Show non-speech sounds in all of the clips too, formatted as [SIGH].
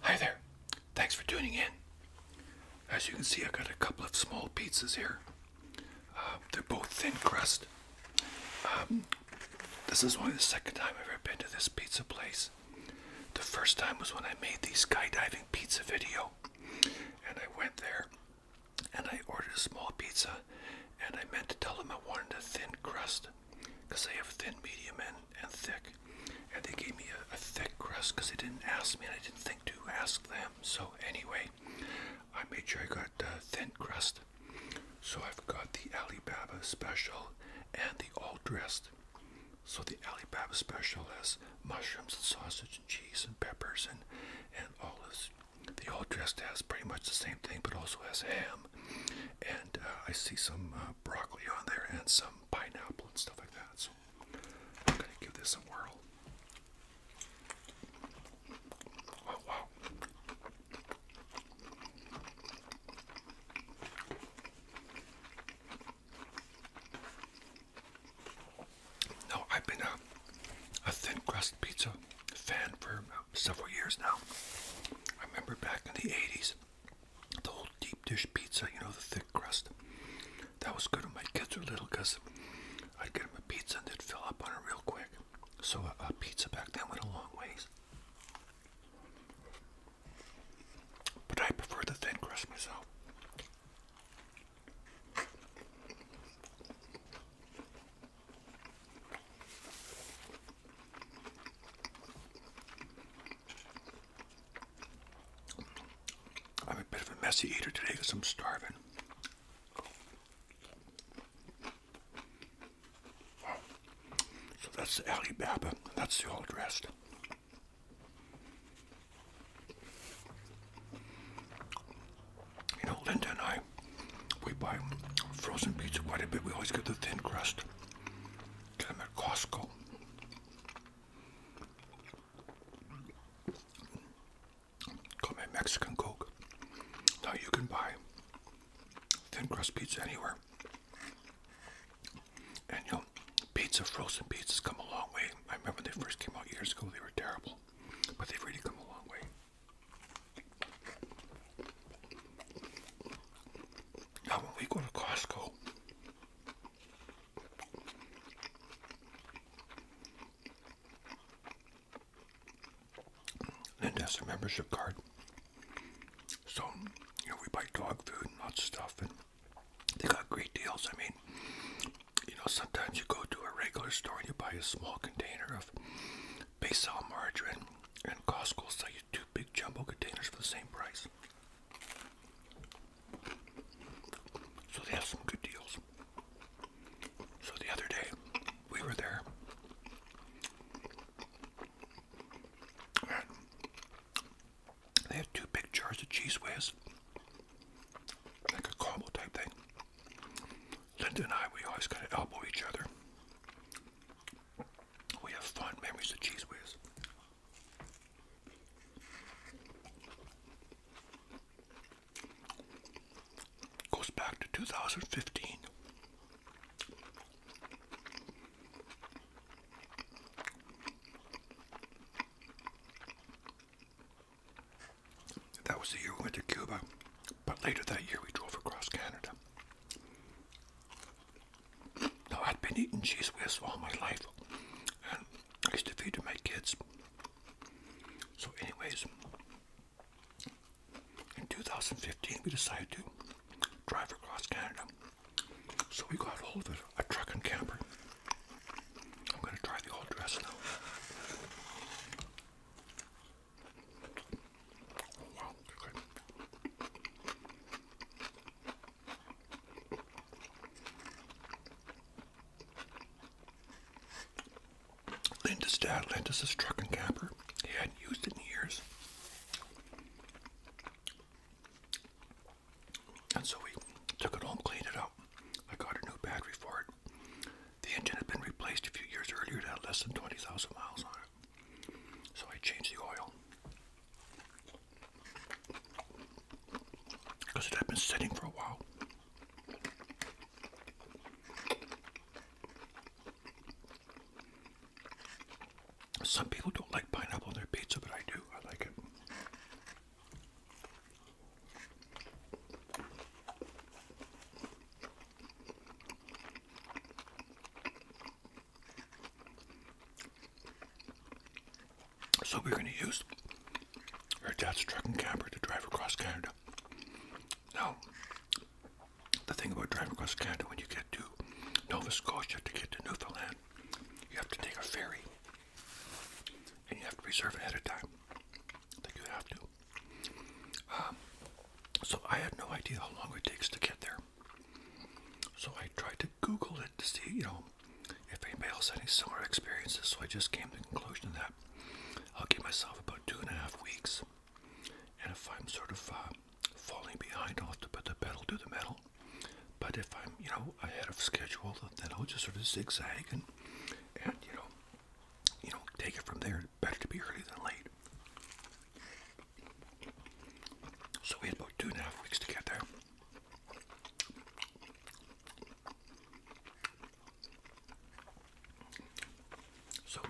Hi there. Thanks for tuning in. As you can see, I've got a couple of small pizzas here. Uh, they're both thin crust. Um, this is only the second time I've ever been to this pizza place. The first time was when I made the skydiving pizza video. And I went there and I ordered a small pizza and I meant to tell them I wanted a thin crust because they have thin, medium, and and thick. And they gave me a, thick crust because they didn't ask me and I didn't think to ask them. So anyway, I made sure I got uh, thin crust. So I've got the Alibaba special and the all dressed. So the Alibaba special has mushrooms and sausage and cheese and peppers and, and olives. The all dressed has pretty much the same thing but also has ham and uh, I see some uh, broccoli on there and some pineapple and stuff like that. So I'm going to give this a whirl. Oh, wow. No, I've been a, a thin crust pizza fan for uh, several years now. I remember back in the 80s, the whole deep dish pizza, you know, the thick crust. That was good when my kids were little because I'd get them a pizza and they'd fill up on it real quick. So a, a pizza back then went a long ways. But I prefer the thin crust myself. I'm a bit of a messy eater today because I'm starving. So that's the Alibaba. That's the whole rest. You know, Linda and I, we buy frozen pizza quite a bit. We always get the thin crust. Get them at Costco. Call me Mexican Coke. Now you can buy thin crust pizza anywhere. And you know, pizza, frozen pizza's come a long way. I remember they first came out years ago, they were terrible. But they've really come a long way. Now, when we go to Costco, and that's a membership card. So, you know, we buy dog food and lots of stuff, and they got great deals. I mean, you know, sometimes you go to a regular store and you buy a small container of Basil margarine, and Costco will sell you two big jumbo containers for the same price. So they have some good deals. So the other day, we were there. And they had two big jars of cheese whiz, like a combo type thing. Linda and I, we always kind of elbow each other. We have fond memories of cheese whiz. Goes back to 2015. That was the year we went to Cuba, but later that year we drove across Canada. Now, I'd been eating cheese whiz all my life, and I used to feed to my kids. So, anyways, in 2015, we decided to drive across Canada. So, we got hold of a, truck and camper. I'm going to try the old dress now. Linda's dad Linda's us his truck and camper. He hadn't used it in years. And so we took it home, cleaned it out. I got a new battery for it. The engine had been replaced a few years earlier. It had less than 20,000 miles on it. So I changed the oil because it had been sitting for a while. Some people don't like pineapple on their pizza, but I do. I like it. So we're going to use our dad's truck and camper to drive across Canada. Now, the thing about driving across Canada when you get to Nova Scotia to get to Newfoundland, you have to take a ferry and you have to reserve ahead of time. I think you have to. Um, so I had no idea how long it takes to get there. So I tried to Google it to see, you know, if anybody else had any similar experiences. So I just came to the conclusion that I'll give myself about two and a half weeks. And if I'm sort of uh, falling behind, I'll have to put the pedal to the metal. But if I'm, you know, ahead of schedule, then I'll just sort of zigzag and, and you know, you know, take it from there. Better to be early than late. So we had about two and a half weeks to get there. So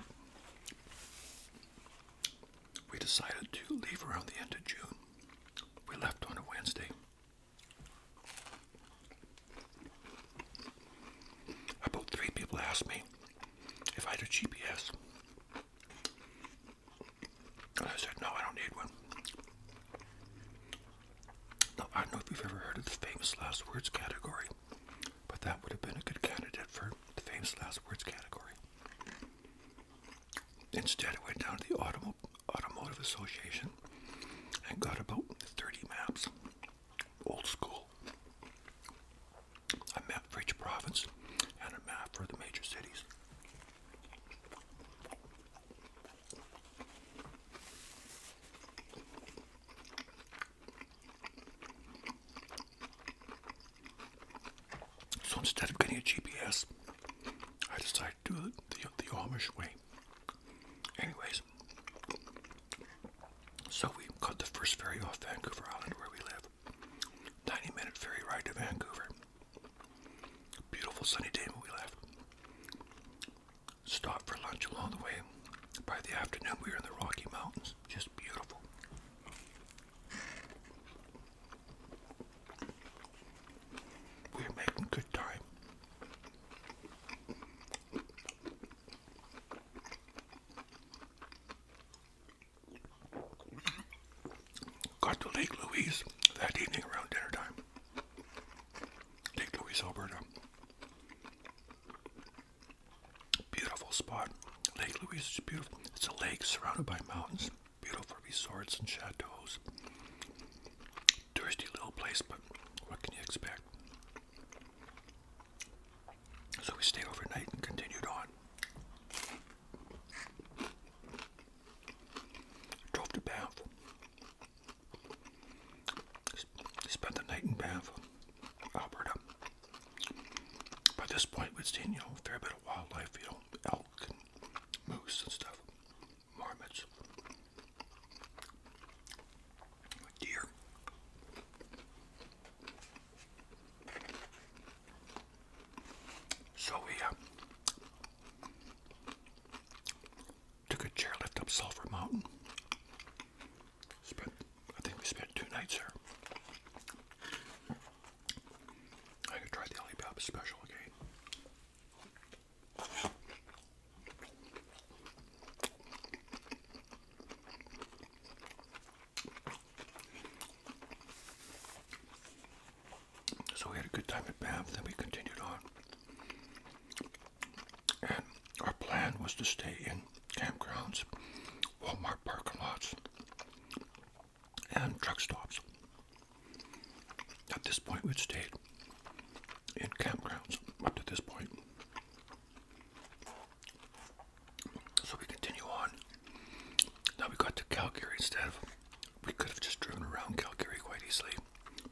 we decided to leave around the end of June. We left on a Wednesday. About three people asked me if I had a GPS. I said, no, I don't need one. I don't know if you've ever heard of the famous last words category, but that would have been a good candidate for the famous last words category. Instead, I went down to the Automo Automotive Association and got about 30 maps, old school. A map for each province and a map for the major cities. So instead of getting a GPS, I decided to do it the, the Amish way. Anyways, so we caught the first ferry off Vancouver Island where we live. 90 minute ferry ride to Vancouver. Beautiful sunny day when we left. Stopped for lunch along the way. By the afternoon, we were in the Rocky Mountains. Just beautiful. We were making good time got to Lake Louise that evening around dinner time. Lake Louise, Alberta. Beautiful spot. Lake Louise is beautiful. It's a lake surrounded by mountains. Beautiful resorts and chateaus. Touristy little place, but what can you expect? So we stayed overnight and continued on. Drove to Bath. Spent the night in Banff, Alberta. By this point, we'd seen, you know, fair bit of wildlife, you know, elk and moose and stuff, marmots, deer. So we uh, took a chairlift up Sulphur Mountain. I think we spent two nights there. I could try the Alibaba special again. So we had a good time at Bath. then we continued on. And our plan was to stay in campgrounds, Walmart parking lots, and truck stops. At this point, we'd stayed in campgrounds up to this point. So we continue on now we got to Calgary instead of, we could have just driven around Calgary quite easily,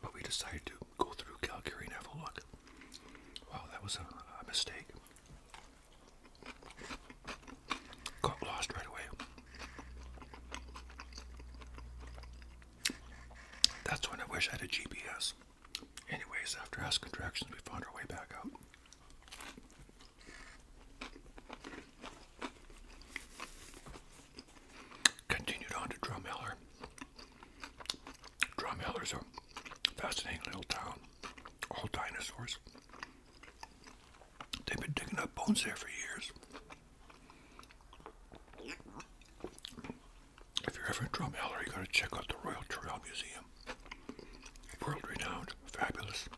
but we decided to go through Calgary and have a look. Wow, that was a, mistake. Got lost right away. That's when I wish I had a GPS. Anyways, after asking contractions, we found our way back out continued on to Drumheller. Drumheller's a fascinating little town, all dinosaurs. They've been digging up bones there for years. If you're ever in Drumheller, you gotta check out the Royal Trail Museum. World renowned, fabulous.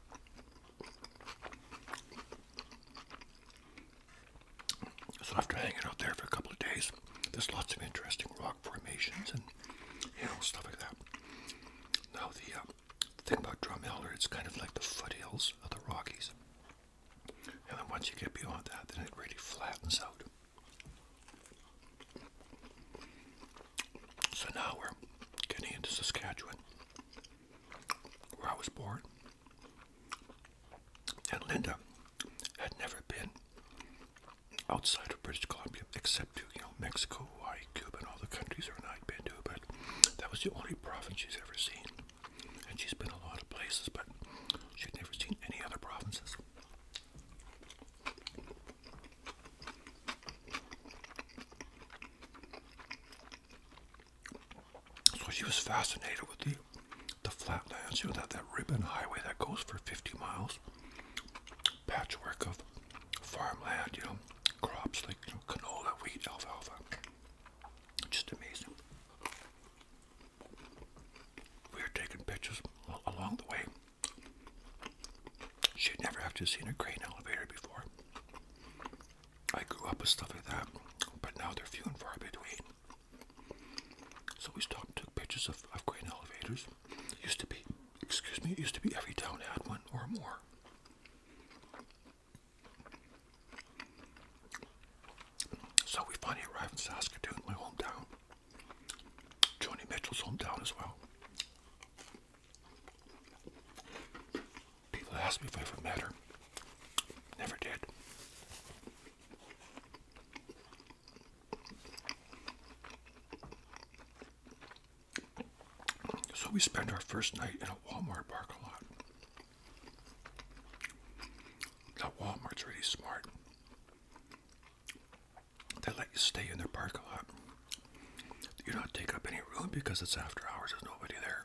So after hanging out there for a couple of days, there's lots of interesting rock formations and you know stuff like that. Now the uh, thing about Drumheller, it's kind of like the foothills of the Rockies, and then once you get beyond that, then it really flattens out. So now we're getting into Saskatchewan, where I was born, and Linda had never been outside of British Columbia except to, you know, Mexico, Hawaii, Cuba, and all the countries her and I'd been to, but that was the only province she's ever seen. And she's been a lot of places, but she'd never seen any other provinces. So she was fascinated with the the flatlands, you know, that, that ribbon highway that goes for 50 miles. Patchwork of farmland, you know, crops like you know, canola, wheat, alfalfa. Just amazing. We were taking pictures along the way. She'd never actually seen a grain elevator before. I grew up with stuff like that, but now they're few and far between. So we stopped and took pictures of, of grain elevators. Used to be, excuse me, used to be every town had one or more. So we finally arrived in Saskatoon, my hometown. Joni Mitchell's hometown as well. People ask me if I ever met her. Never did. So we spend our first night in a Walmart parking lot. Now Walmart's really smart. They let you stay in their parking lot. You don't take up any room because it's after hours, there's nobody there.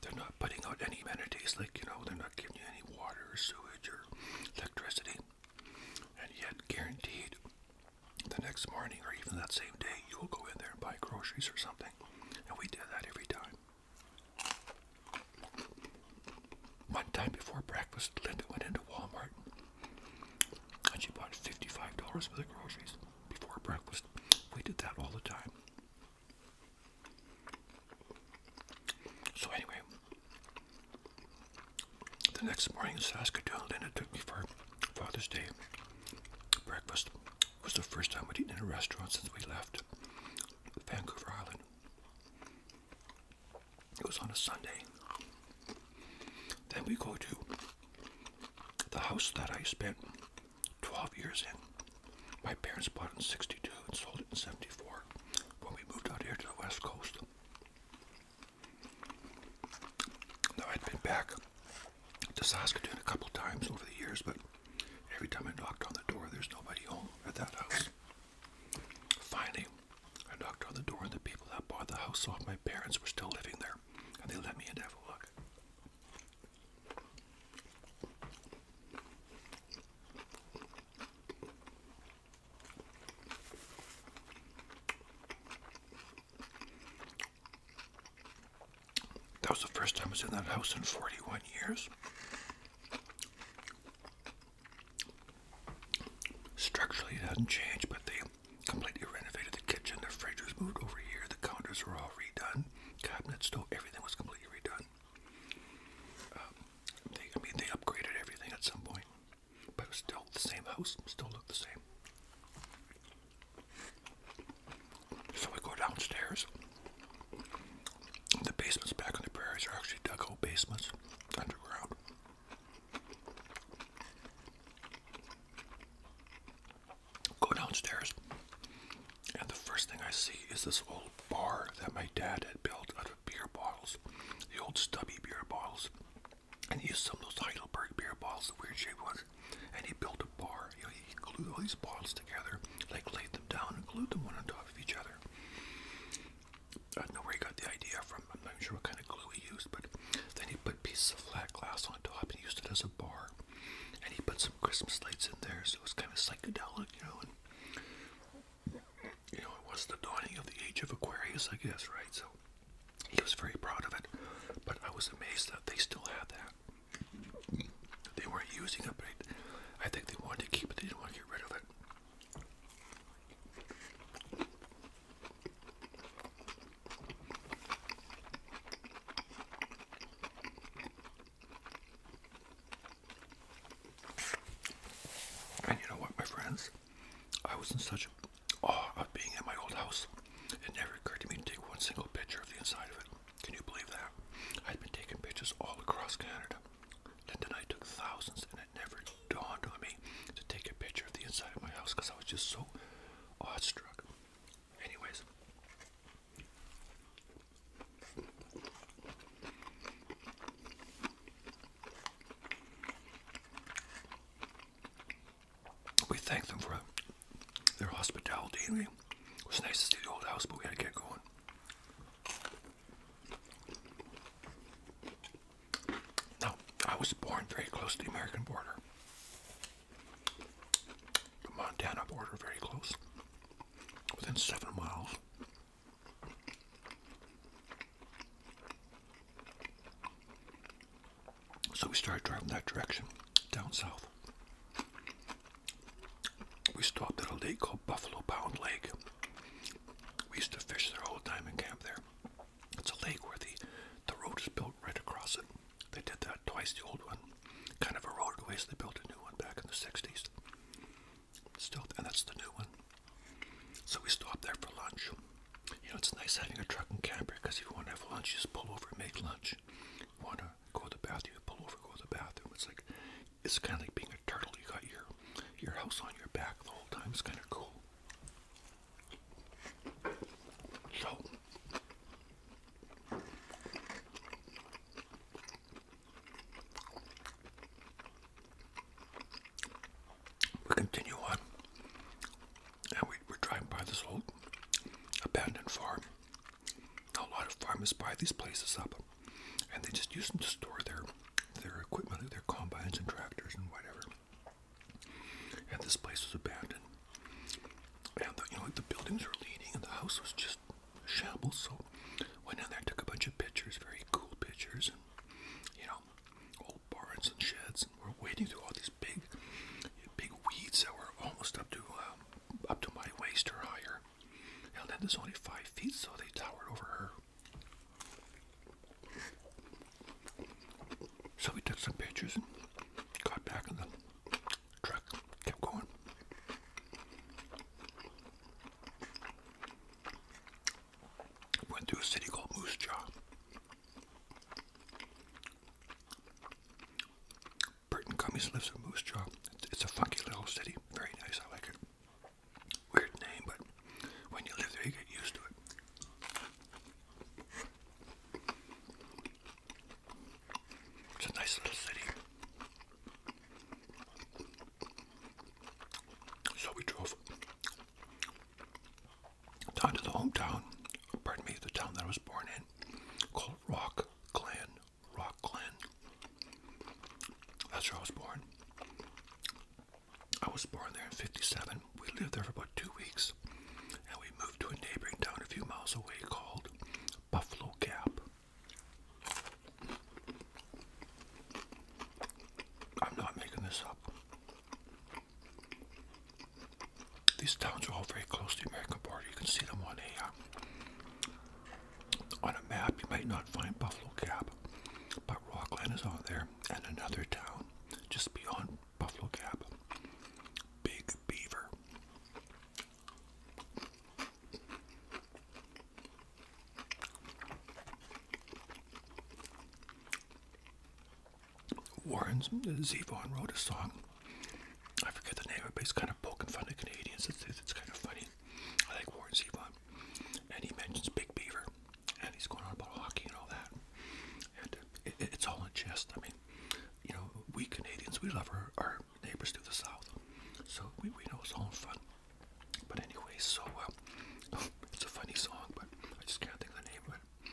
They're not putting out any amenities, like, you know, they're not giving you any water or sewage or electricity. And yet, guaranteed, the next morning or even that same day, you will go in there and buy groceries or something. And we did that every time. One time before breakfast, Linda went into Walmart and she bought $55 worth of groceries before breakfast. We did that all the time. So anyway, the next morning Saskatoon, then it took me for Father's Day breakfast. was the first time we'd eaten in a restaurant since we left Vancouver Island. It was on a Sunday. Then we go to the house that I spent 12 years in. My parents bought in 62 and sold it in 74 when we moved out here to the West Coast. Now, I'd been back to Saskatoon a couple times over the years, but every time I knocked on the door, there's nobody home at that house. Finally, I knocked on the door, and the people that bought the house off my parents were still living there, and they let me in to have a look. That was the first time I was in that house in 41 years. Structurally, it hadn't changed, but they completely renovated the kitchen. The fridge was moved over here. The counters were all redone. Cabinets, stove, everything was completely redone. Um, I mean, they upgraded everything at some point, but still the same house, still looked the same. So we go downstairs. The basements back on the prairies are actually dug out basements underground. Go downstairs. And the first thing I see is this old bar that my dad had built out of beer bottles, the old stubby beer bottles. And he used some of those Heidelberg beer bottles, the weird shaped ones. And he built a bar. You know, he glued all these bottles together, like laid them down and glued them one on top of each other. I don't know where he got the idea from. I'm not even sure what kind of glue he used, but then he put pieces of flat glass on top and used it as a bar. And he put some Christmas lights in there, so it was kind of psychedelic you know, and you know, it was the dawning of the age of Aquarius, I guess, right? So he was very proud of it, but I was amazed that they still had that. They weren't using it, but I think they wanted to keep it. They didn't want to get rid of it. And you know what, my friends? I was in such awe of being in my old house. It never occurred to me to take one single picture of the inside of it. Can you believe that? I'd been taking pictures all across Canada. and then I took thousands, and it never dawned on me to take a picture of the inside of my house because I was just so awestruck. Anyways, we thank them for their hospitality. It was nice to see the old house, but we had to get going. Now, I was born very close to the American border, the Montana border, very close within seven miles. So we started driving that direction, down south. We stopped at a lake called Buffalo Pound Lake. We used to fish there all the time and camp there. It's a lake where the, the road is built right across it. They did that twice, the old one kind of eroded away, so they built a new one back in the 60s. Still, and that's the new one. So we stopped there for lunch. You know, it's nice having a truck and camper because if you want to have lunch, you just pull over and make lunch. You want to go to the bathroom, you pull over, go to the bathroom. It's like, it's kind of like being a turtle. You got your, your house on your back the whole time. It's kind of cool. So, we continue on, and we, are driving by this old abandoned farm. A lot of farmers buy these places up, and they just use them to store their their equipment, their combines and tractors and whatever. And this place was abandoned, and the, you know the buildings were leaning, and the house was just shambles. So went in there, took a bunch of pictures, very cool pictures, and you know, old barns and sheds. And we're wading through all these big, big weeds that were almost up to um, up to my waist or higher. And then there's only five feet, so they towered over her. So we took some pictures and got back in the truck, kept going. Went through a city called Moose Jaw. Burton Cummings lives in Moose Jaw. It's a funky little city. Very nice. I like it. Weird name, but when you live there, you get used to it. It's a nice little city. So we drove down to the hometown, pardon me, the town that I was born in, called Rock Glen. Rock Glen. That's where I was born. I was born there in 57. We lived there for about two weeks and we moved to a neighboring town a few miles away called Buffalo Gap. I'm not making this up. These towns are all very close to the American border. You can see them on a uh, on a map. You might not find Buffalo Gap, but Rockland is on there, and another town just beyond Buffalo Gap, Big Beaver. Warren Zevon wrote a song. I forget the name of it, but he's kind of poking fun at Canadians. It's, it's kind of funny. I like Warren Zevon. And he mentions Big Beaver. And he's going on about hockey and all that. And it's all in jest. I mean, you know, we Canadians, we love our our neighbors to the south. So we, we know it's all fun. But anyway, so uh, [LAUGHS] it's a funny song, but I just can't think of the name of it.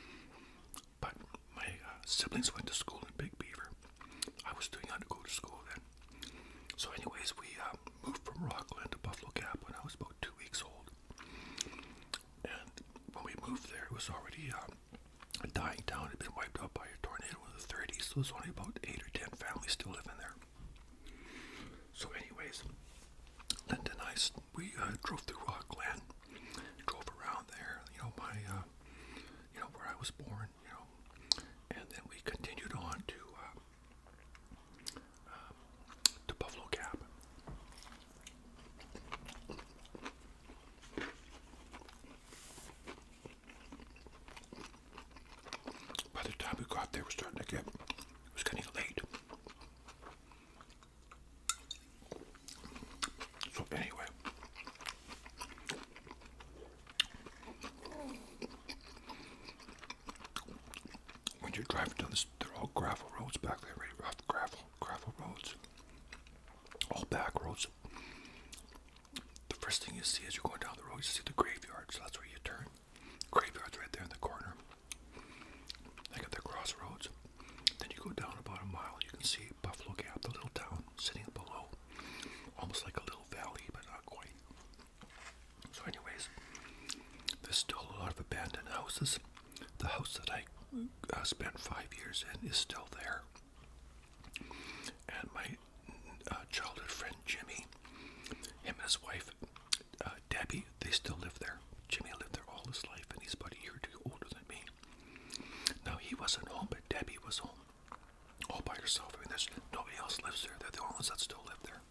But my uh, siblings went to school in Big Beaver. I was too young to go to school then. So, anyways, we uh, moved from Rockland to Buffalo Gap when I was about two weeks old. And when we moved there, it was already um, a dying town. It had been wiped out by a tornado in the 30s, so there's only about eight or ten families still living there. So, anyways, Linda I, we uh, drove through Rockland, drove around there, you know, my, uh, you know, where I was born, you know, and then we continued on to, uh, um, to Buffalo Gap. By the time we got there, it was starting to get, it was getting late. So anyway, when you're driving down this, they're all gravel roads back there, really rough gravel, gravel roads, all back roads. The first thing you see as you're going down the road, you see the graveyard, so that's where you turn. Graveyard's right there in the corner. They got their crossroads. Then you go down about a mile, you can see Buffalo Gap, the little town sitting below. Almost like a little valley, but not quite. So, anyways, there's still a lot of abandoned houses. The house that I uh, spent five years in is still there. And my my uh, childhood friend Jimmy. Him and his wife, uh, Debbie, they still live there. Jimmy lived there all his life, and he's about a year or two older than me. Now, he wasn't home, but Debbie was home all by herself. I mean, there's nobody else lives there. They're the only ones that still live there.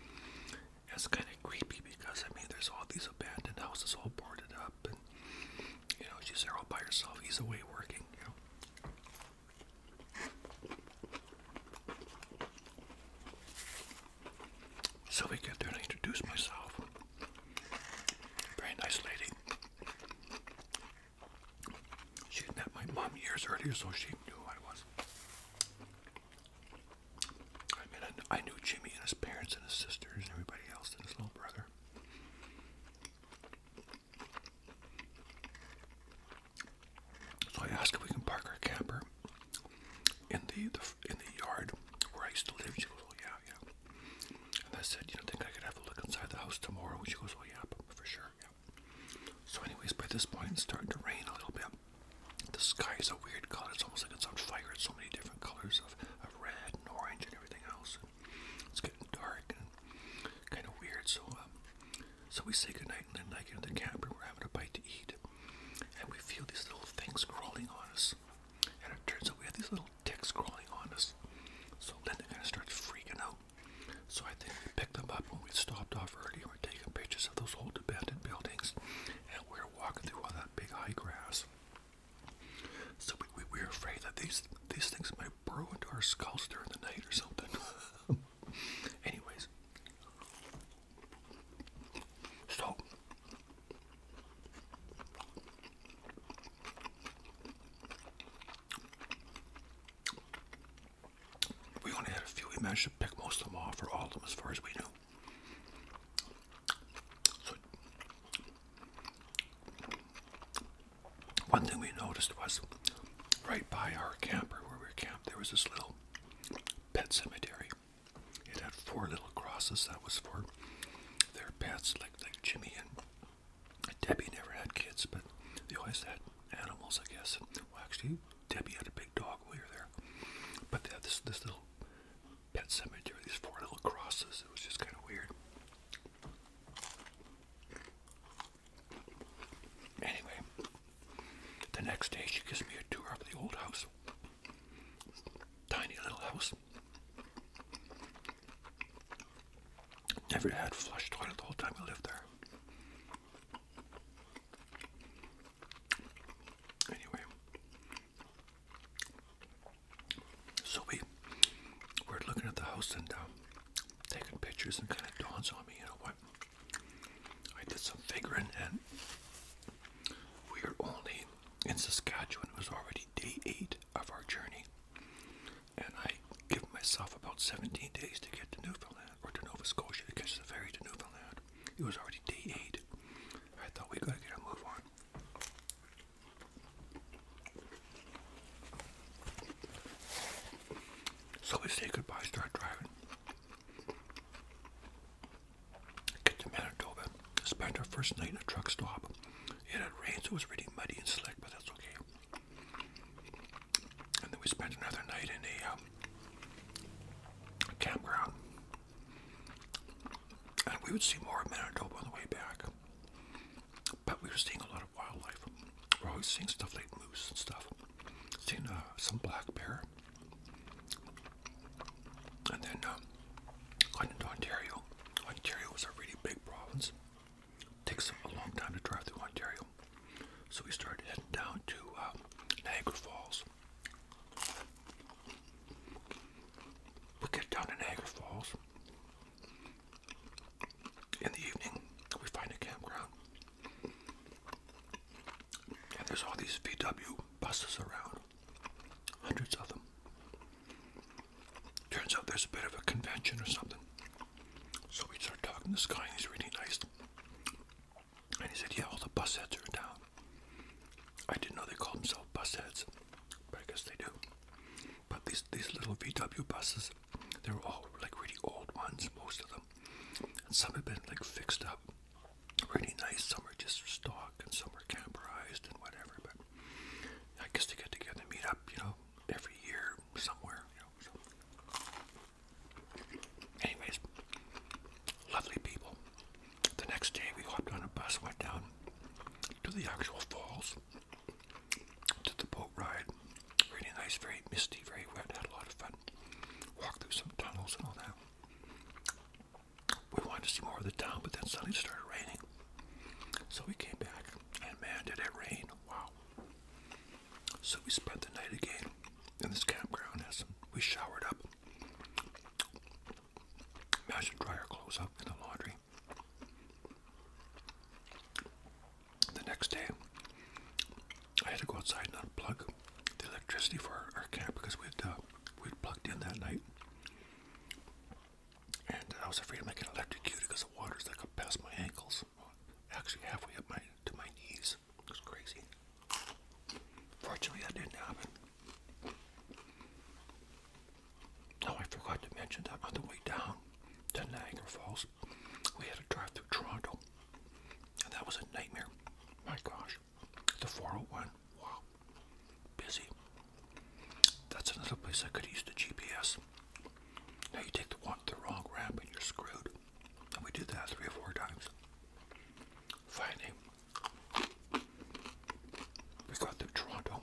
And it's kind of creepy because, I mean, there's all these abandoned houses all boarded up, and, you know, she's there all by herself. He's away working, you know. So we get there and I introduce myself. Very nice lady. She had met my mom years earlier, so she knew who I was. I mean, I knew Jimmy and his parents and his sisters and everybody else and his little brother. So I asked if we can park our camper in the, the in the yard where I used to live. She goes, "Oh yeah, yeah." And I said, "You don't think I could have a look inside the house tomorrow?" she goes, "Oh yeah, for sure, yeah." So, anyways, by this point, it's starting to rain a little bit. The sky is a weird color. It's almost like it's on fire. It's so many different colors of, of red and orange and everything else. And it's getting dark and kind of weird. So um, so we say goodnight and then I get in the camper, we're having a bite to eat, and we feel these little things crawling on us. And it turns out we have these little ticks crawling on us. So Linda kind of starts freaking out. So I think we picked them up when we stopped off earlier. We're taking pictures of those old abandoned buildings, and we're walking through all that big high grass. So we, we're afraid that these these things might burrow into our skulls during the night or something. [LAUGHS] Anyways, so we only had a few. We managed to pick most of them off, or all of them, as far as we knew. So, one thing we noticed was right by our camper where we were camped, there was this little pet cemetery. It had four little crosses. That was for their pets, like like Jimmy and Debbie. Never had kids, but they always had animals, I guess. Well, actually, Debbie had a big dog when we were there. But they had this this little pet cemetery. These four little crosses. It was just kind of weird. Anyway, the next day she gives me a tour of the old house. Tiny little house. Never had flush toilet the whole time we lived there. Anyway, so we were looking at the house and uh, taking pictures, and kind of dawns on me, you know, what? I, did some figuring, and we were only in Saskatchewan. It was already day eight of our journey, and I give myself about 17 days to get to Newfoundland or to Nova Scotia to catch the ferry to Newfoundland. It was already day eight. I thought we gotta get a move on. So we say goodbye, start driving. Get to Manitoba, spent our first night in a truck stop. It had rained, so it was really muddy and slick, but that's okay. And then we spent another night in a, um, a campground. And we would see more of Manitoba on the way back. But we were seeing a lot of wildlife. We're always seeing stuff like moose and stuff. Seen uh, some black bear. And then uh, um, got Ontario. Ontario was a really big province. Takes a long time to drive through Ontario. So we started heading down to um, Niagara Falls. We get down to Niagara Falls. In the evening, we find a campground. And there's all these VW buses around, hundreds of them. Turns out there's a bit of a convention or something. So we start talking to this guy, and he's really nice. And he said, Yeah, all the bus heads are down." I didn't know they called themselves bus heads, but I guess they do. But these, these little VW buses, they are all like really old ones, most of them. And some have been like fixed up really nice. Some are just stock and some are camperized and whatever. But I guess they get together and meet up, you know, every year somewhere, Anyways, lovely people. The next day we hopped on a bus, went down to the actual falls, to the boat ride. Really nice, very misty, very wet, had a lot of fun. Walked through some tunnels and all that. We wanted to see more of the town, but then suddenly it started raining. So we came back, and man, did it rain! Wow. So we spent the night again in this campground we showered up. Managed to clothes up in the laundry. The next day, I had to go outside and unplug the electricity for our, camp because we had uh, we plugged in that night, and I was afraid I might get electrocuted because the water's like up past my ankles, actually halfway up my to my knees. It was crazy. Fortunately, that didn't happen. Now oh, I forgot to mention that on the way down to Niagara Falls, we had to drive through Toronto. That was a nightmare. My gosh. The 401. Wow. Busy. That's another place I could use the GPS. Now you take the one the wrong ramp and you're screwed. And we did that three or four times. Finally, we got to Toronto.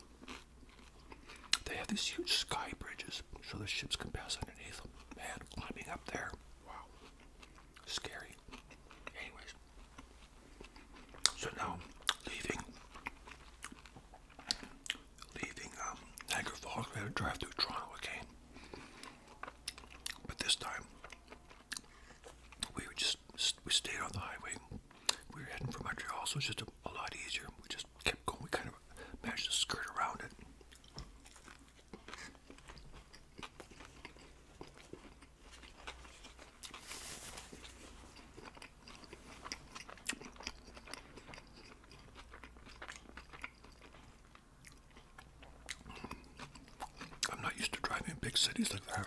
They have these huge sky bridges so the ships can pass underneath Man, climbing up there. Wow. Scary. Anyways. So now leaving leaving um Niagara Falls, we had to drive through Toronto okay. But this time we just we stayed on the highway. We were heading for Montreal, so it's just a, a lot easier. We just kept going. We kind of managed to skirt around it. I'm not used to driving in big cities like that.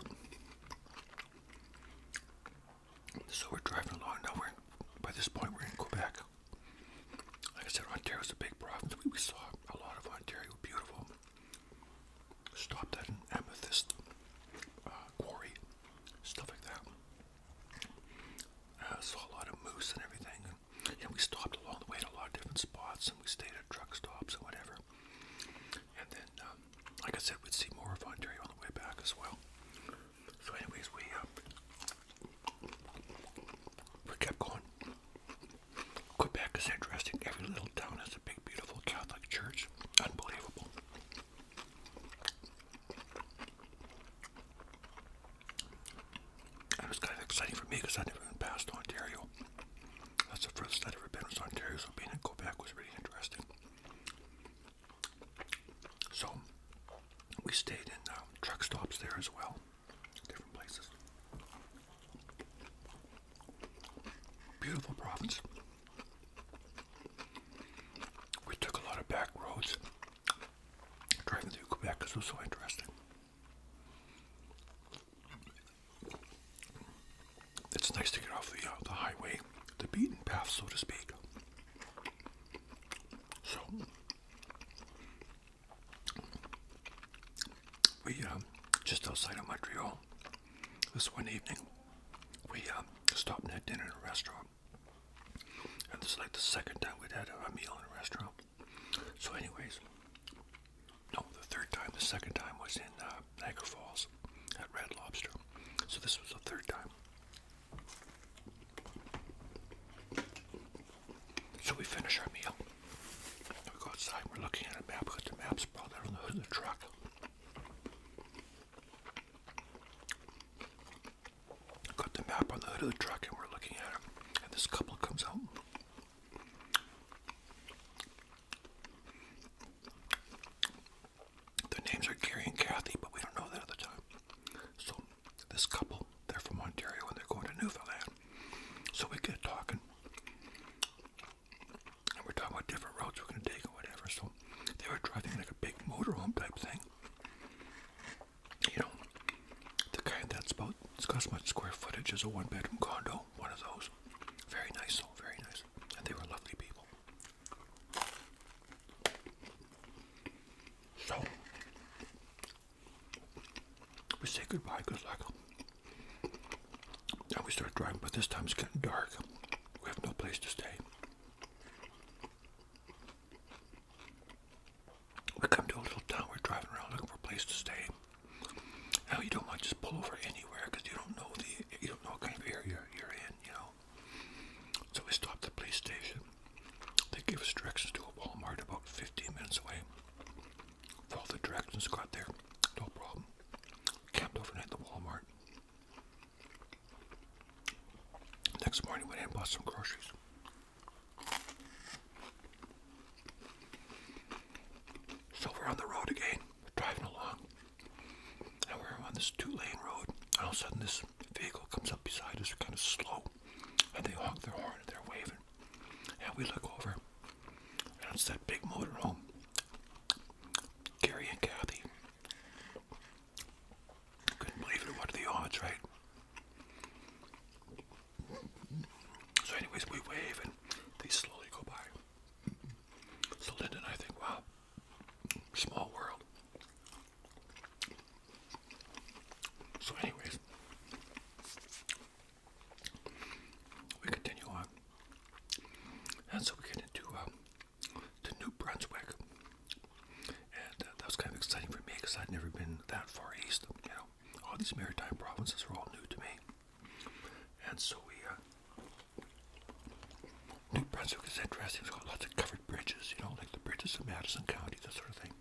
So we're driving along now. We're by this point we're in Quebec. Like I said, Ontario is a big province. we saw a lot of Ontario, beautiful. Stopped at an amethyst uh, quarry, stuff like that. I uh, saw a lot of moose and everything, and, and we stopped along the way at a lot of different spots, and we stayed at truck stops and whatever. And then, um, like I said, we'd see more of Ontario on the way back as well. So, anyways, we uh, we kept going. Quebec is interesting. Every little town has a big, beautiful Catholic church. Unbelievable. It was kind of exciting for me because I'd never been past Ontario. That's the first I'd ever been was Ontario, so being in Quebec was really interesting. So we stayed in um, truck stops there as well different places. Beautiful province. We took a lot of back roads driving through Quebec because it was so interesting. It's nice to get off the, uh, the highway, the beaten path, so to speak. So, we uh, just outside of Montreal this one evening we um, stopped and had dinner in a restaurant and this is like the second time we'd had a meal in a restaurant so anyways no the third time the second time was in uh, Niagara Falls at Red Lobster so this was the third time so we finish our meal we go outside, we're looking at a map, we got the map sprawled out on the hood of the truck. Got the map on the hood of the truck and we're looking at it. And this couple comes out. Their names are Gary and Kathy, but we don't know that at the time. So this couple, they're from Ontario and they're going to Newfoundland. So we get talking. And we're talking about different routes we're going to take or whatever. So they were driving like a big motorhome type thing. You know, the kind that's about, it's got as much square footage as a one bedroom condo, one of those. Very nice, though, very nice. And they were lovely people. So, we say goodbye, good luck. Now we start driving, but this time it's getting dark. We have no place to stay. We come to a little town, we're driving around looking for a place to stay. Now you don't want to just pull over anywhere because you don't know the you don't know what kind of area you're in, you know. So we stop at the police station. They give us directions to a Walmart about 15 minutes away. With the directions got there, no problem. Camped overnight at the Walmart. Next morning, went in and bought some groceries. So we're on the road again, driving along, and we're on this two-lane road. And all of a sudden, this vehicle comes up beside us, kind of slow, and they honk their horn and they're waving. And we look over, and it's that big motor home. Gary and Kathy. Couldn't believe it. What are the odds, right? So, anyways, we wave and they slowly go by. So, Linda I think, wow, small world. So, anyways, we continue on, and so we get into uh, to New Brunswick, and uh, that was kind of exciting for me because I'd never been that far east. You know, all these maritime provinces are all new to me, and so we. Uh, New Brunswick is interesting. It's got lots of covered bridges, you know, like the bridges of Madison County, that sort of thing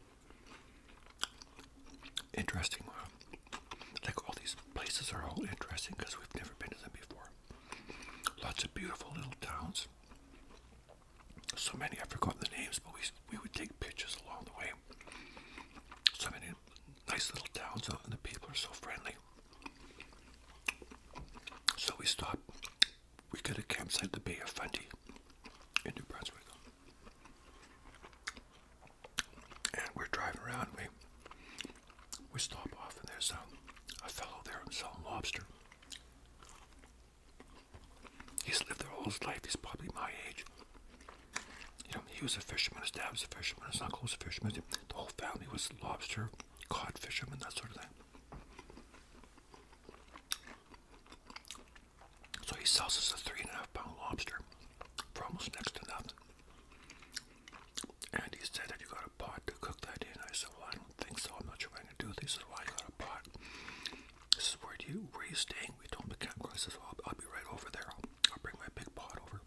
interesting. Uh, like all these places are all interesting because we've never been to them before. Lots of beautiful little towns. So many I've forgotten the names, but we we would take pictures along the way. So many nice little towns, and the people are so friendly. So we stopped. We got a campsite the Bay of Fundy in New Brunswick and we're driving around. We we stop off, and there's a, fellow there selling lobster. He's lived there all his life. He's probably my age. You know, he was a fisherman. His dad was a fisherman. His uncle was a fisherman. The whole family was lobster, cod fishermen, that sort of thing. So he sells us a three and a half pound lobster for almost next to nothing. And he said that you got a pot to cook that in. I said, Well, I don't think so. I'm not sure what I'm gonna do. this." said, Well, you got a pot. This is where do you where are you staying? We told him the campground. I says, Well, I'll, be right over there. I'll, bring my big pot over.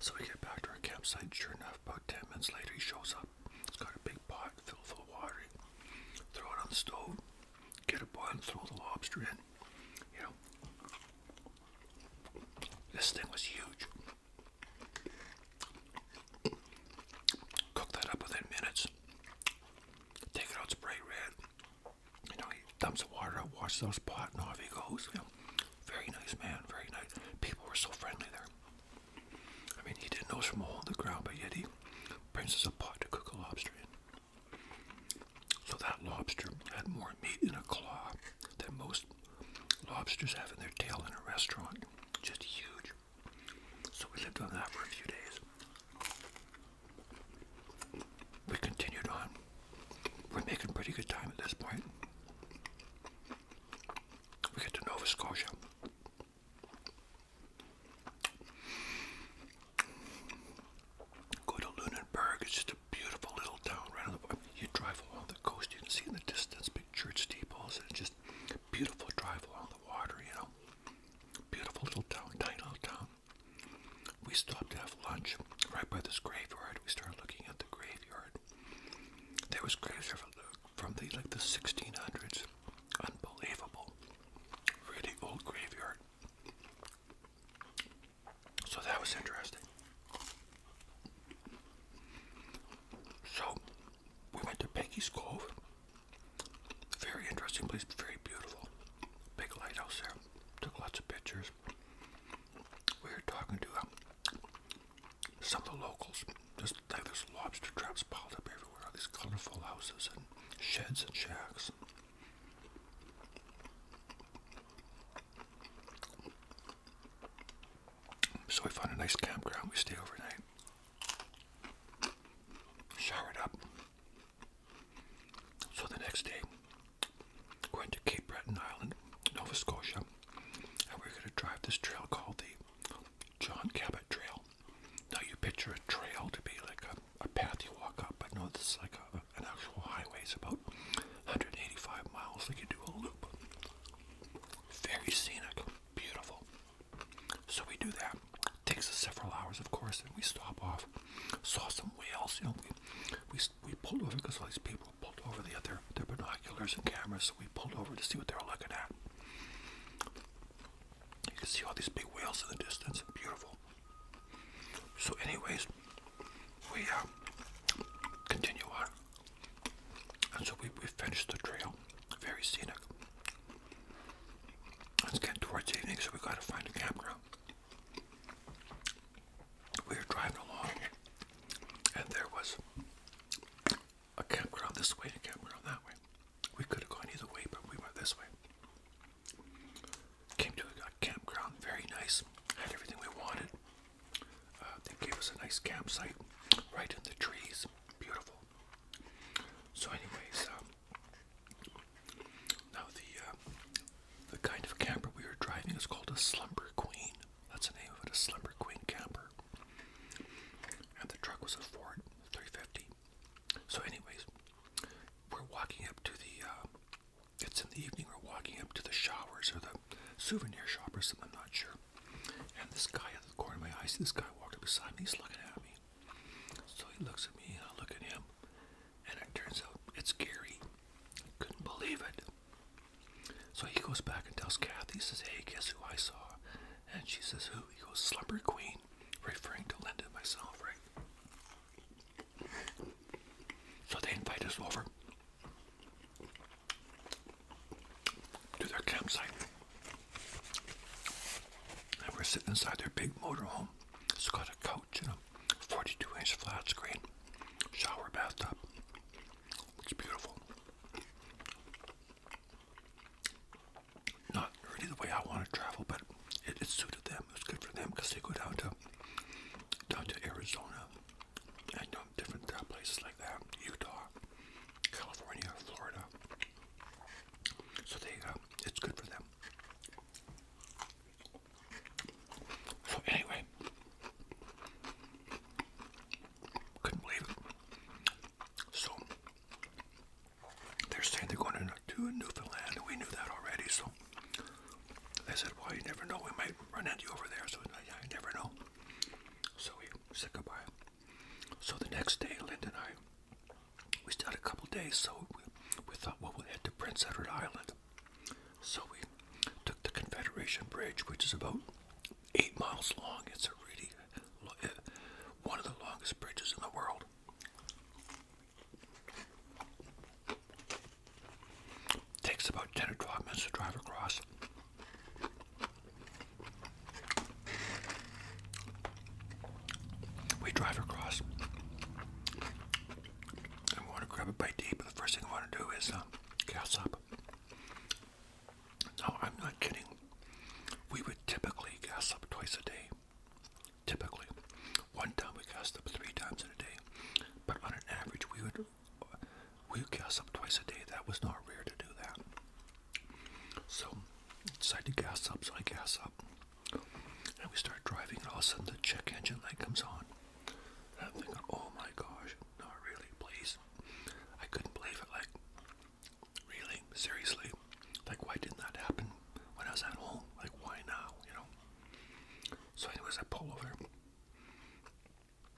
So we get back to our campsite. Sure enough, about ten minutes later, he shows up. He's got a big pot filled full of water. Throw it on the stove. Get a bun. Throw the lobster in. You know, this thing was huge. Cook that up within minutes. Take it out, spray red. You know, he dumps the water out, washes those pot, and off he goes. very nice man, very nice. People were so friendly there. I mean, he didn't know us from a hole in the ground, but yet he brings us a pot to cook a lobster in. So that lobster had more meat in a claw than most lobsters have in their tail in a restaurant. Just huge. So we lived on that for a few days. We continued on. We're making pretty good time at this point. We get to Nova Scotia. Go to Lunenburg. It's just a beautiful little town right on the. You drive along the coast. You can see in the distance big church steeples and just beautiful drive along the water. You know, beautiful little town, tiny little town. We stopped to have lunch right by this graveyard. We started looking at the graveyard. There was graves from the like the 1600s. Unbelievable. Really old graveyard. So that was interesting. So we went to Peggy's Cove. Very interesting place, very beautiful. Big lighthouse there. Took lots of pictures. We were talking to um, some of the locals. Just like there's lobster traps piled up everywhere, all these colorful houses and sheds and shacks. So we find a nice campground. We stay overnight. Showered up. So the next day, going to Cape Breton Island, Nova Scotia, and we're going to drive this trail called the John Cabot Trail. Now you picture a trail to be like a, path you walk up, but no, this is like a an actual highway. is about 185 miles. They can do a loop. Very scenic, beautiful. So we do that. Takes us several hours, of course, and we stop off. Saw some whales, you know. We we, pulled over because all these people pulled over. They had their, their binoculars and cameras, so we pulled over to see what they were looking at. You can see all these big whales in the distance. Beautiful. So, anyways, we uh, continue on. And so we, we finished the trail, very scenic. It's getting towards evening, so we gotta find a campground. We were driving along, and there was a campground this way and a campground that way. We could have gone either way, but we went this way. Came to a, campground, very nice. Had everything we wanted. Uh, they gave us a nice campsite right in the trees. Beautiful. So, anyways, um, now the uh, the kind of camper we were driving is called a Slumber Queen. That's the name of it, a Slumber Queen camper. And the truck was a Ford 350. So, anyways, we're walking up to the uh, it's in the evening, we're walking up to the showers or the souvenir shop or something, I'm not sure. And this guy at the corner of my eye, I see this guy walking beside me, he's looking at me. So he looks at me, and I look at him, and it turns out it's Gary. Couldn't believe it. So he goes back and tells Kathy, he says, Hey, guess who I saw? And she says, Who? He goes, Slumber Queen, referring to Linda myself, right? So they invite us over to their campsite. And we're sitting inside their big motorhome. It's got a couch and a 42 inch flat screen, shower, bathtub. It's beautiful. Not really the way I want to travel, but it, suited them. It was good for them because they go down to down to Arizona I know different uh, places like that, Utah, California, Florida. So they, uh, it's good for them. So anyway, couldn't believe it. So they're saying they're going to Newfoundland, and we knew that already. So know. They said, well, you never know. We might run into you over there, so yeah, you never know. So we said goodbye. So the next day, Linda and I, we stayed a couple days, so we, thought, well, we'll head to Prince Edward Island. So we took the Confederation Bridge, which is about eight miles long. It's a really eh, one of the longest bridges in the world. Takes about 10 or 12 minutes to drive across. We drive across. and we want to grab a bite to eat, but the first thing we want to do is um, gas up. No, I'm not kidding. We would typically gas up twice a day. Typically. One time we gas up three times in a day. But on an average, we would we gas up twice a day. That was not rare to do that. So I decided to gas up, so I gas up. And we start driving, and all of a sudden the check engine light comes on. I'm thinking, oh my gosh, not really, please. I couldn't believe it, like, really, seriously. Like, why didn't that happen when I was at home? Like, why now, you know? So anyways, I pull over.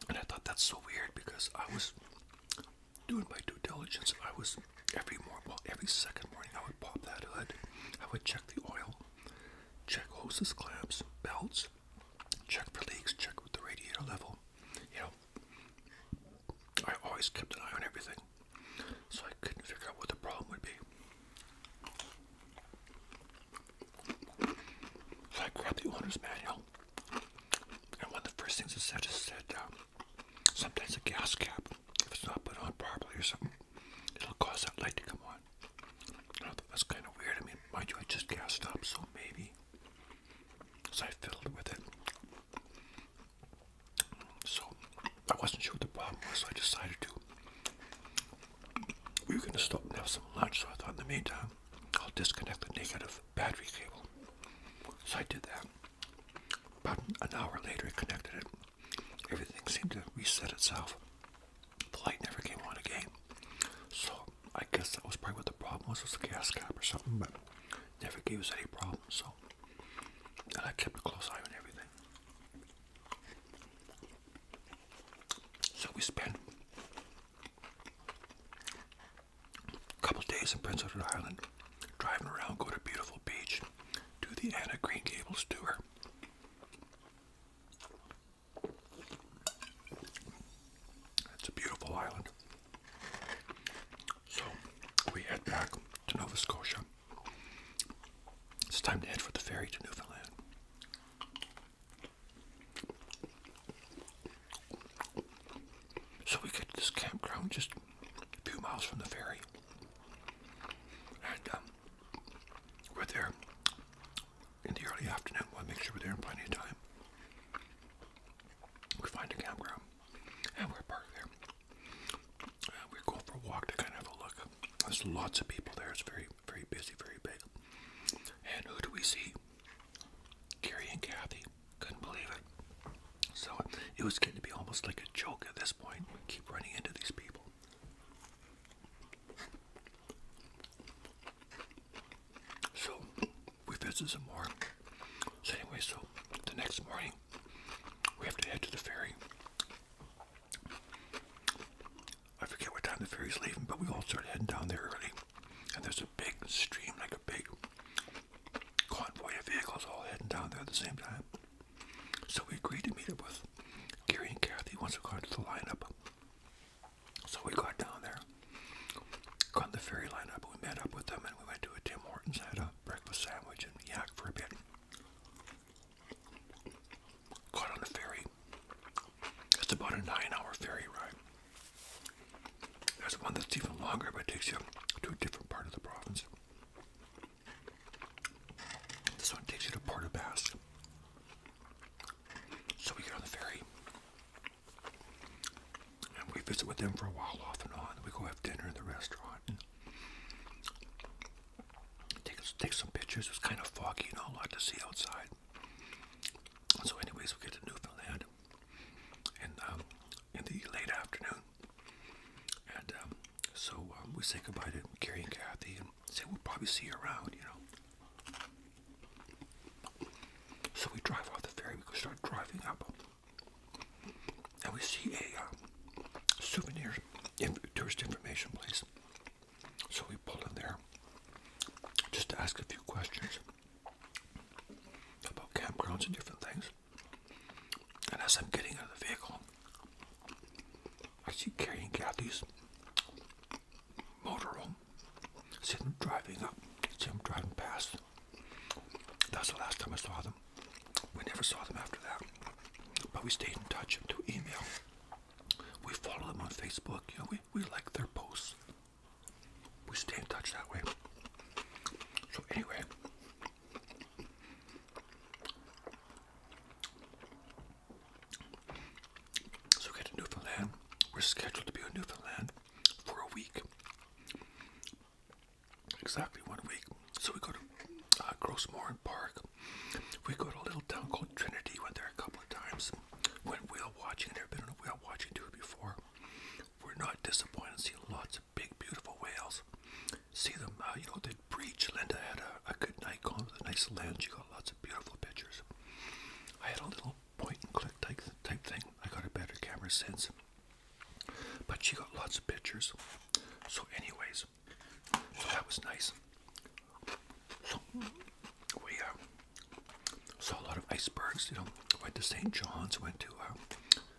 And I thought that's so weird because I was doing my due diligence. I was every morning, well, every second morning, I would pop that hood. I would check the oil, check hoses, clamps, belts, check for leaks, check with the radiator level. You know, I always kept an eye on everything, so I couldn't figure out what the problem would be. So I grabbed the owner's manual, and one of the first things it said is that um, sometimes a gas cap, if it's not put on properly or something, it'll cause that light to come on. I thought that was kind of weird. I mean, mind you, I just gassed up, so maybe. So I it with it. So I wasn't sure what the problem was, so I decided to. We were going to stop and have some lunch, so I thought in the meantime, I'll disconnect the negative battery cable. So I did that. About an hour later, I connected it. Everything seemed to reset itself. The light never came on again. So I guess that was probably what the problem was. It was the gas cap or something, but never gave us any problems. So, and I kept a close eye on everything. So we spent a couple days in Prince Edward Island, driving around, go to beautiful beach, do the Anna Green Gables tour. It's a beautiful island. So we head back to Nova Scotia. It's time to head for the ferry to Newfoundland. So we get to this campground just a few miles from the ferry. And um, we're there in the early afternoon. We'll make sure we're there in plenty of time. We find a campground and we're parked there. we go for a walk to kind of have a look. There's lots of people there. It's very very busy, very big. And who do we see? Gary and Kathy. Couldn't believe it. So it was getting to be almost like a joke at this point. Keep running into these people. So we visit some more. anyway, so the next morning we have to head to the ferry. I forget what time the ferry's leaving, but we all started heading down there early. And there's a big stream, like a big convoy of vehicles all heading down there at the same time. So we agreed to meet up with Gary and Kathy once we got to the lineup. So we got down there, got in the ferry lineup, we met up with them, and we went to a Tim Hortons, had a breakfast sandwich, and yak for a bit. Got on the ferry, it's about a nine hour ferry ride. There's one that's even longer, but takes you to a different part of the province. This one takes you to Port So we get on the ferry. And we visit with them for a while off and on. We go have dinner in the restaurant take, some pictures. It's kind of foggy and you know, a lot to see outside. So, anyways, we get to Newfoundland and um, in the late afternoon, and um, so um, we say goodbye to Carrie and Kathy and say we'll probably see you around, you know. So we drive off the ferry. We go start driving up, and we see a souvenir tourist information place. So we pulled in there just to ask a few questions about campgrounds and different things. And as I'm getting out of the vehicle, I see Carrie and Kathy's motorhome. See them driving up. See them driving past. That's the last time I saw them. We never saw them after that. But we stayed in touch through email. We follow them on Facebook. we, we like their posts we stay in touch that way. So anyway, so we get to Newfoundland. We're scheduled to be in Newfoundland for a week, exactly one week. So we go to uh, Grossmorn Park. We go to a little town called Trinity. Went there a couple of times when whale watching, never been on whale watching tour before. We're not disappointed seeing lots of big, beautiful whales. See them, uh, you know, they breach. Linda had a, a good Nikon with a nice lens. She got lots of beautiful pictures. I had a little point and click type, type thing. I got a better camera since. But she got lots of pictures. So, anyways, so that was nice. So, we, uh, Saw a lot of icebergs, you know. Went to St. John's, went to uh,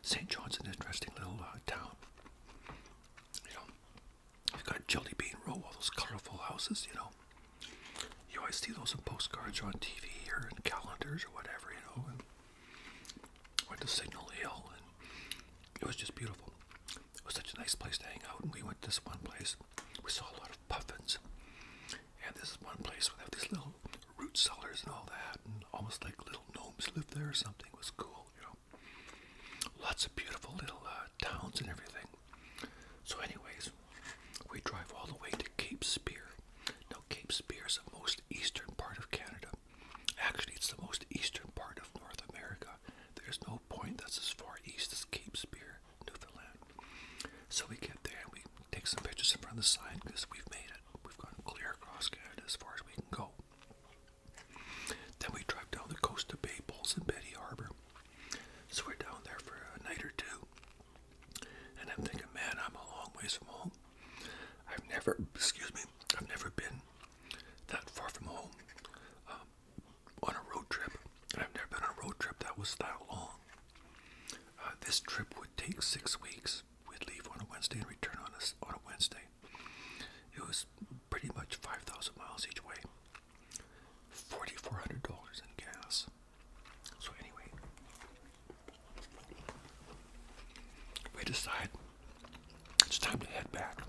St. John's, an interesting little uh, town. You know, you've got Jelly Bean Row, all those colorful houses, you know. You always see those in postcards or on TV or in calendars or whatever, you know. went to Signal Hill, and it was just beautiful. It was such a nice place to hang out, and we went to this one place. We saw a lot of puffins. And this is one place where they have these little root cellars and all that, and almost like little gnomes live there or something. It was cool, you know. Lots of beautiful little uh, towns and everything. So, anyways, we drive all the way to Cape Spear. Now, Cape Spear is the most eastern part of Canada. Actually, it's the most eastern part of North America. There's no point that's as far east as Cape Spear. Newfoundland. So we get there and we take some pictures in front of the sign because we've made it. We've gone clear across Canada as far as we can go. Then we drive down the coast to Bay Bulls and Betty Harbor. So we're down there for a night or two. And I'm thinking, man, I'm a long ways from home. I've never, excuse me, I've never been that far from home um, on a road trip. I've never been on a road trip that was that long. Uh, this trip would take six weeks. We'd leave on a Wednesday and return on a, on a Wednesday. It was pretty much 5,000 miles each way. $4,400 in gas. So, anyway, we decide it's time to head back.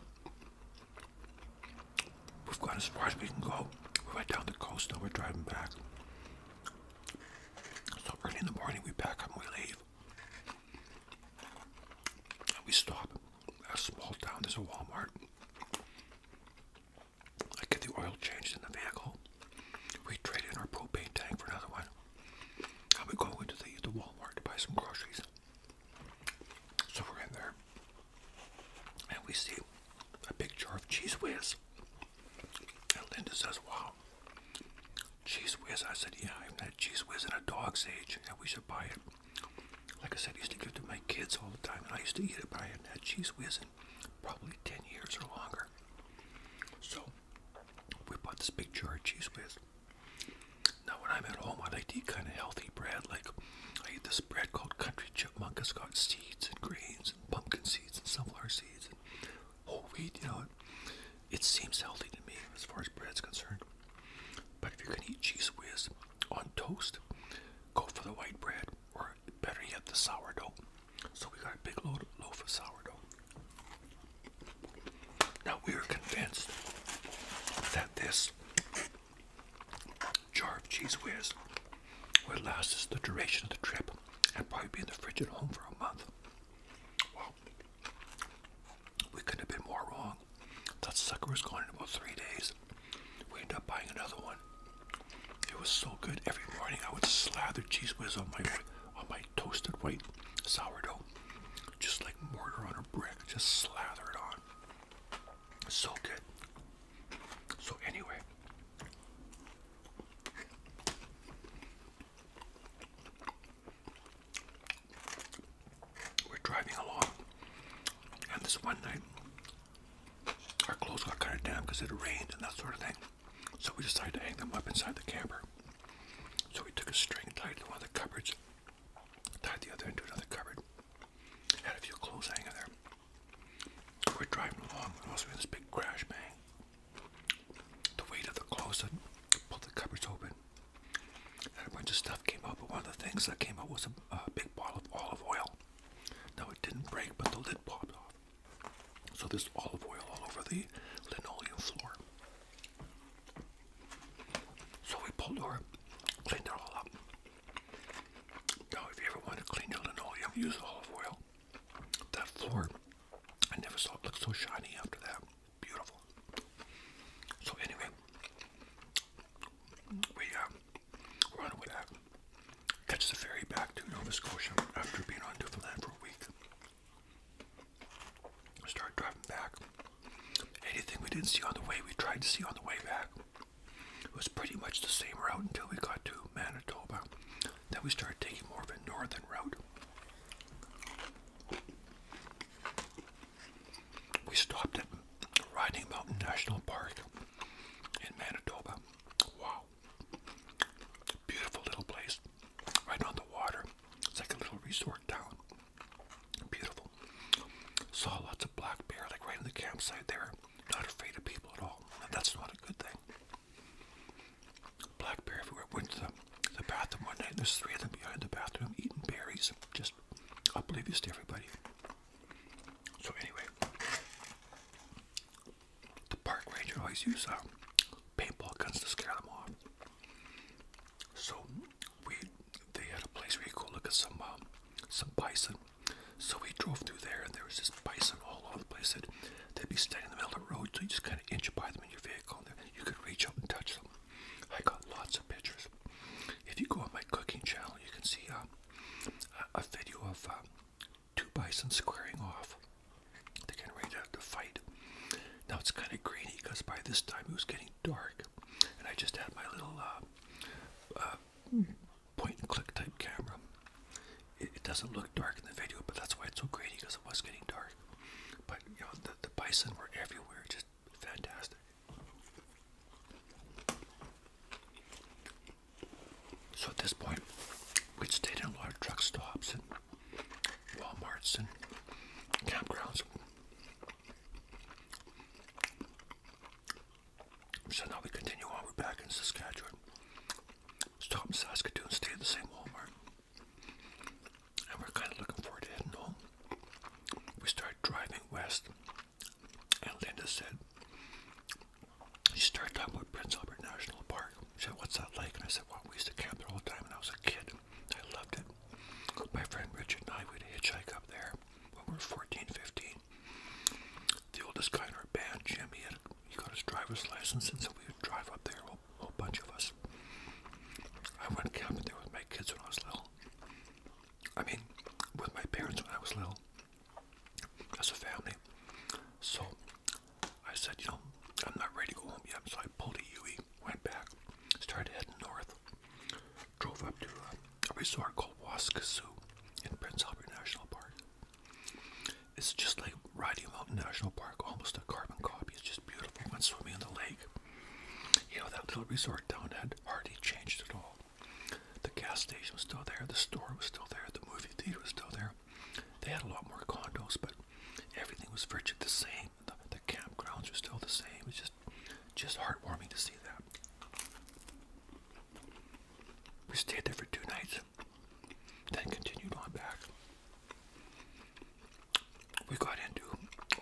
We've gone as far as we can go. We went down the coast, now we're driving back. So early in the morning, we pack up and we leave. we stop at a small town. There's a Walmart. I get the oil changed in the vehicle. We trade in our propane tank for another one. And we go into the, the Walmart to buy some groceries. So we're in there. And we see a big jar of cheese whiz. And Linda says, Wow, cheese whiz. I said, Yeah, I have had cheese whiz in a dog's age, and we should buy it. Like I said, I used to give it to my kids all the time, and I used to eat it, but I have not had cheese whiz in probably 10 years or longer. So we bought this big jar of cheese whiz. Now, when I'm at home, I like to eat kind of healthy bread. Like, I eat this bread called Country Chipmunk. It's got seeds and grains pumpkin seeds, and sunflower seeds, and whole wheat. You know, it, seems healthy to me as far as bread's concerned. But if you're gonna eat cheese whiz on toast, go for the white bread, or better yet, the sourdough. So we got a big loaf of sourdough. Now we are convinced that this jar of cheese whiz will last us the duration of the trip. I'd probably be in the fridge at home for a month. Well, we couldn't have been more wrong. That sucker was gone in about three days. We ended up buying another one. It was so good. Every morning I would slather cheese whiz on my on my toasted white sourdough, just like mortar on a brick. Just slather it on. So good. So anyway, we're driving along, and this one night, our clothes got kind of damp because it rained and that sort of thing. So we decided to hang them up inside the camper. So we took a string, tied to one of the cupboards, tied the other into another cupboard, had a few clothes hanging there. We're driving along, and also this big crash bang. The weight of the closet pulled the cupboards open, and a bunch of stuff came out. But one of the things that came out was a, big bottle of olive oil. Now it didn't break, but the lid popped off. So there's olive oil all over the linoleum floor. So we pulled over, cleaned it all up. Now, if you ever want to clean your linoleum, use olive oil. That floor, I never saw it look so shiny after that. Beautiful. So anyway, we uh, we're on our way to catch the ferry back to Nova Scotia after being on Newfoundland for a week. Start driving back. Anything we didn't see on the way, we tried to see on the way back. It was pretty much the same route until we got to Manitoba, then we started taking more of a northern route. We stopped at Riding Mountain National Park in Manitoba. Wow. beautiful little place. Right on the water. It's like a little resort town. Beautiful. Saw lots of black bear like right in the campsite there. Not afraid of people at all. that's not a good thing. Black bear everywhere. Went to the, bathroom one night. There's three of them behind the bathroom eating berries. Just I'll you to everybody. So anyway, the park ranger always used uh, paintball guns to scare them off. So we, they had a place where you go look at some um, some bison. So we drove through there, and there was just bison all over the place that they'd be standing in the middle of the road, so you just kind of inch by them in your vehicle, and you could reach out and touch them. I got lots of pictures. If you go on my cooking channel, you can see um, a, video of um, two bison squaring off. They're getting ready to, fight. Now it's kind of grainy because by this time it was getting dark, and I just had my little uh, uh, and click type camera it, doesn't look dark in the video, but that's why it's so grainy because it was getting dark. But you know, the, the bison were everywhere, just fantastic. So at this point, we'd stayed in a lot of truck stops and Walmarts and campgrounds. So now we continue on, we're back in Saskatchewan stop in Saskatoon, stay at the same Walmart. And we're kind of looking forward to heading home. We started driving west, and Linda said, she started talking about Prince Albert National Park. She said, what's that like? And I said, well, we used to camp there all the time when I was a kid. I loved it. My friend Richard and I would hitchhike up there when we were 14, 15. The oldest guy in our band, Jim, he got his driver's license, and so we would drive up there, whole, bunch of us. I went camping there with my kids when I was little. I mean, with my parents when I was little, as a family. So I said, you know, I'm not ready to go home yet. So I pulled a UE, went back, started heading north, drove up to a resort called Waskasoo in Prince Albert National Park. It's just like Rocky Mountain National Park, almost a carbon copy. It's just beautiful. Went swimming in the lake. You know, that little resort down had hardly changed at all. The gas station was still there, the store was still there, the movie theater was still there. They had a lot more condos, but everything was virtually the same. The, campgrounds were still the same. It's just, just heartwarming to see that. We stayed there for two nights. Then continued on back. We got into,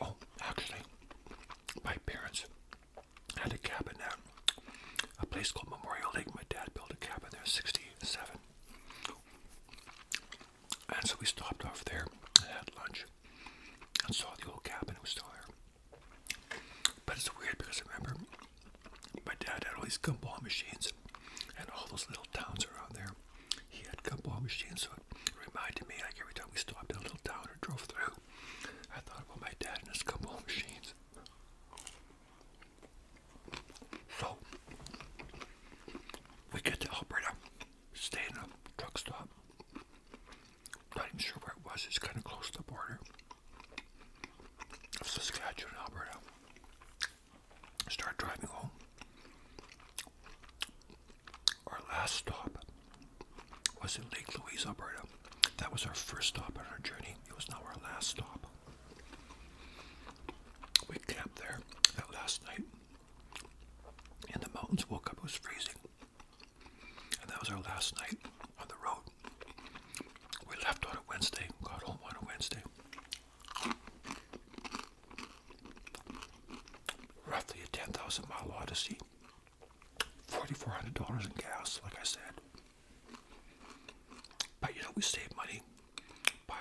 oh, actually, my parents had a cabin at a place called Memorial Lake. My dad built a cabin there, 67. And so we stopped off there and had lunch and saw the old cabin. It was still there. But it's weird because I remember my dad had all these gum ball machines, and all those little towns around there. He had gum ball machines, so it reminded me like every time we stopped in a little town or drove through, I thought about my dad and his gum ball machines. So we get to Alberta, stay in a truck stop. Not even sure where it was, it's kind of close to the border of Saskatchewan, Alberta start driving home. Our last stop was in Lake Louise, Alberta. That was our first stop on our journey. It was now our last stop. We camped there that last night. In the mountains, woke up, it was freezing. And that was our last night on the road. We left on a Wednesday, got home on a Wednesday. Roughly a 10,000 mile odyssey. $4,400 in gas, like I said. But you know, we saved money by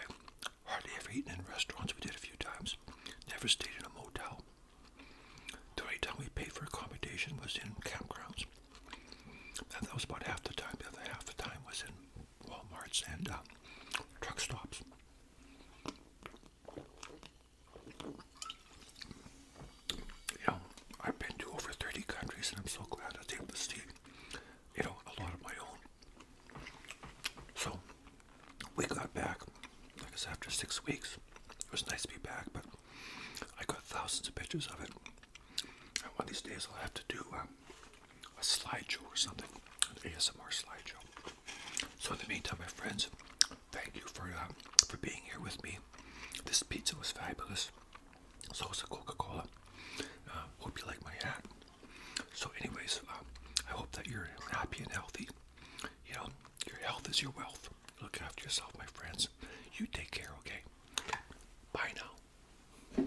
hardly ever eating in restaurants. We did a few times. Never stayed in a motel. The only time we paid for accommodation was in campgrounds. And that was about half the time. The other half the time was in Walmarts and um, truck stops. You know, I've been to over 30 countries and I'm so glad I was able to you know, a lot of my own. So, we got back, I said, after six weeks. It was nice to be back, but I got thousands of pictures of it. one of these days I'll have to do um, a slideshow or something, an ASMR slideshow. So in the meantime, my friends, thank you for uh, for being here with me. This pizza was fabulous. So was the Coca-Cola. Uh, hope you like my hat. So, anyways, um, I hope that you're happy and healthy. You know, your health is your wealth. Look after yourself, my friends. You take care, okay? Bye now.